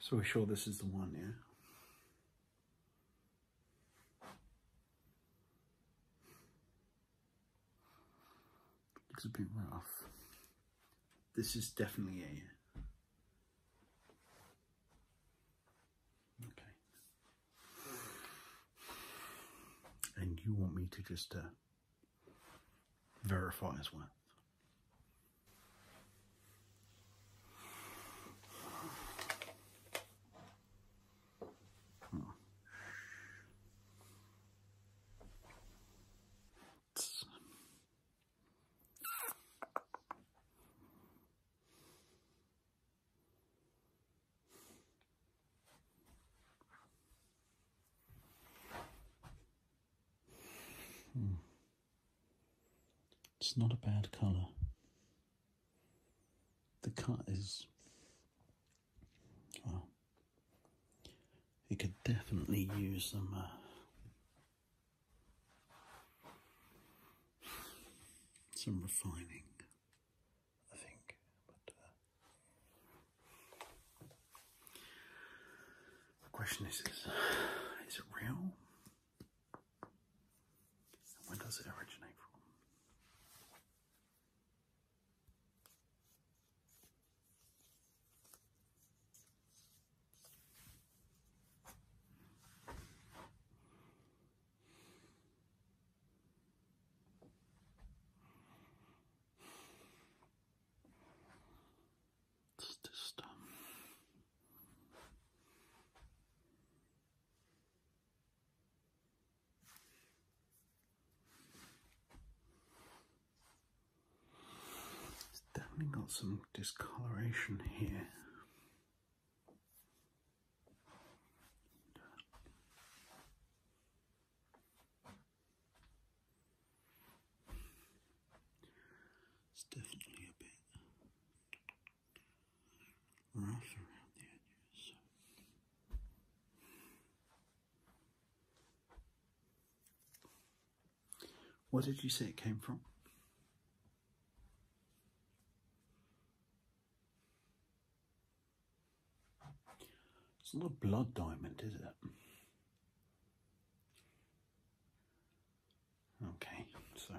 So we're sure this is the one, yeah? Looks a bit rough. This is definitely a Okay. And you want me to just uh, verify as well. Hmm. It's not a bad colour the cut is well it could definitely use some uh, some refining I think uh, the question is, is it real where does it originate from? It's just um, it's definitely got some discoloration here. It's definitely a bit rough What did you say it came from? It's not a blood diamond, is it? Okay, so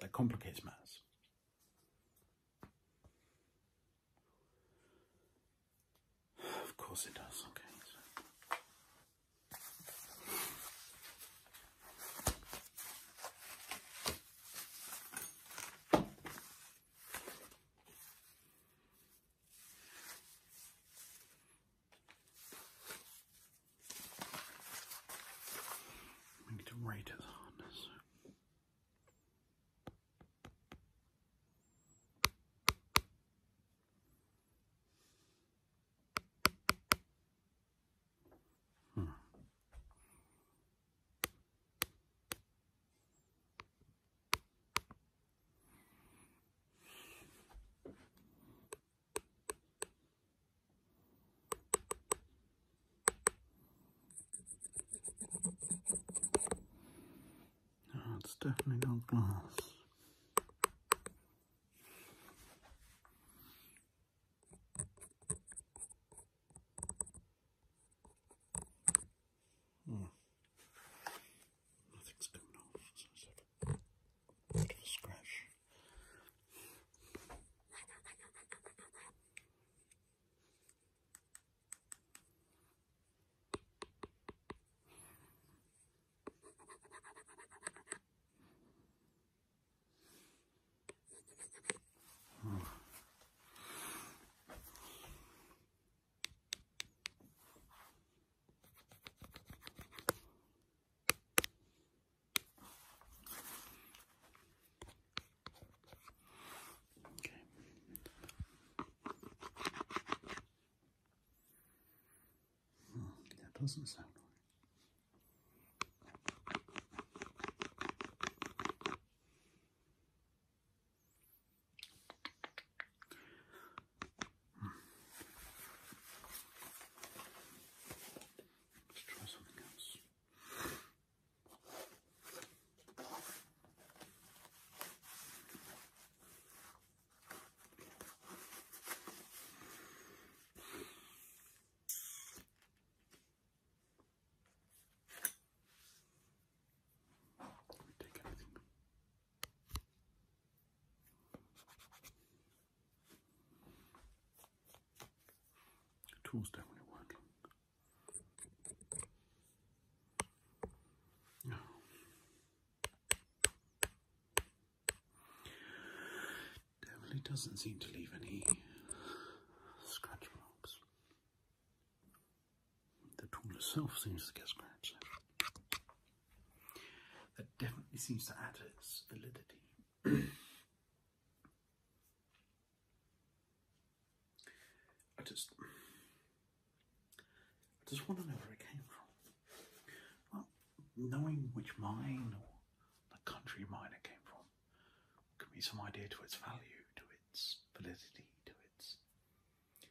that complicates matters. Of course it does, okay. I need to rate its hardness. Hmm. No, oh, it's definitely not glass. Hmm. Nothing's coming off, so let's a bit scratch. Okay. Oh, that doesn't sound right. Let's try something else. take anything. The tools don't Definitely doesn't seem to leave any scratch marks. The tool itself seems to get scratched. That definitely seems to add to its validity. I just, I just want to know where it came from. Well, knowing which mine or the country mine it came from can be some idea to its value, to its validity, to its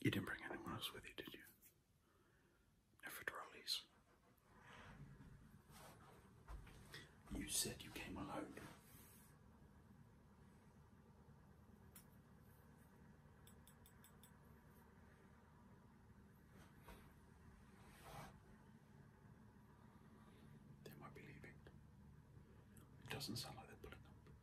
You didn't bring anyone else with you, did you? No for trolleys. You said you came alone. They might be leaving. It doesn't sound like they're pulling up.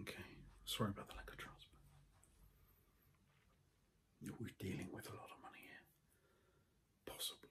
Okay, sorry about the lack of trust, but we're dealing with a lot of money here. Possibly.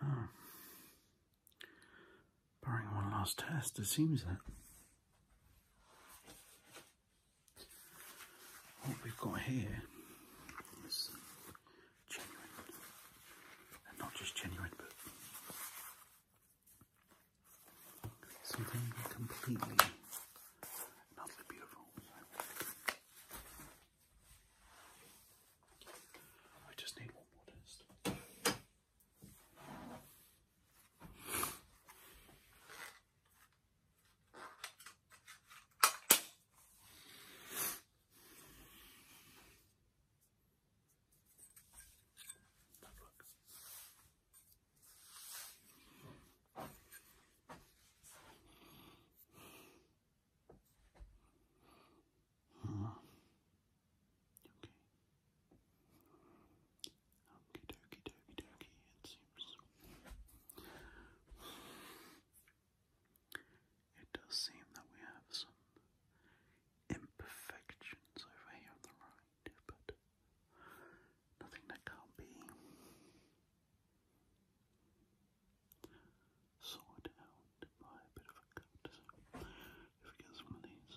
Hmm. Barring one last test, it seems that what we've got here is genuine, and not just genuine, but something completely and utterly beautiful. I just need one more test. Okay, dokie, dokie, dokie, it seems. It does seem that we have some imperfections over here on the right, but nothing that can't be sorted out by a bit of a cut. if we get some of these.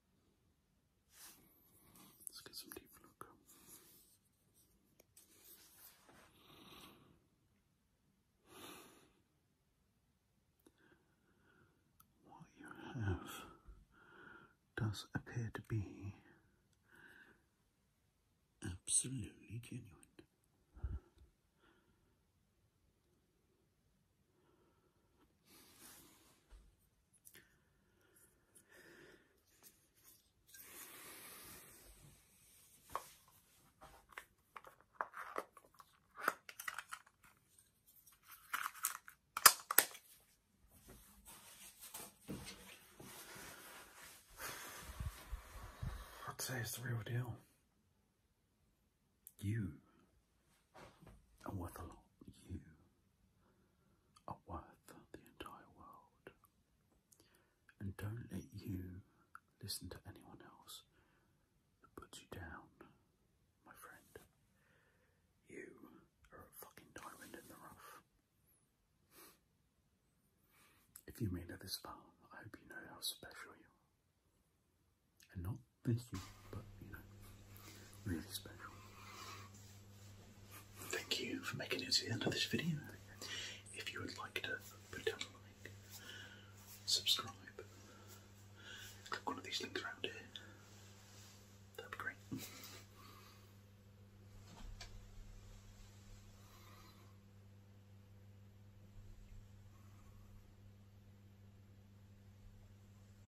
Let's get some deep look. What you have does appear to be absolutely genuine. I'd say it's the real deal. You and whether or not you are worth the entire world. And don't let you listen to anyone else who puts you down, my friend. You are a fucking diamond in the rough. If you made it this far, I hope you know how special you are. And not busy, but you know, really special. Thank you for making it to the end of this video. If you would like to put down a like, subscribe, click one of these links around here. That'd be great.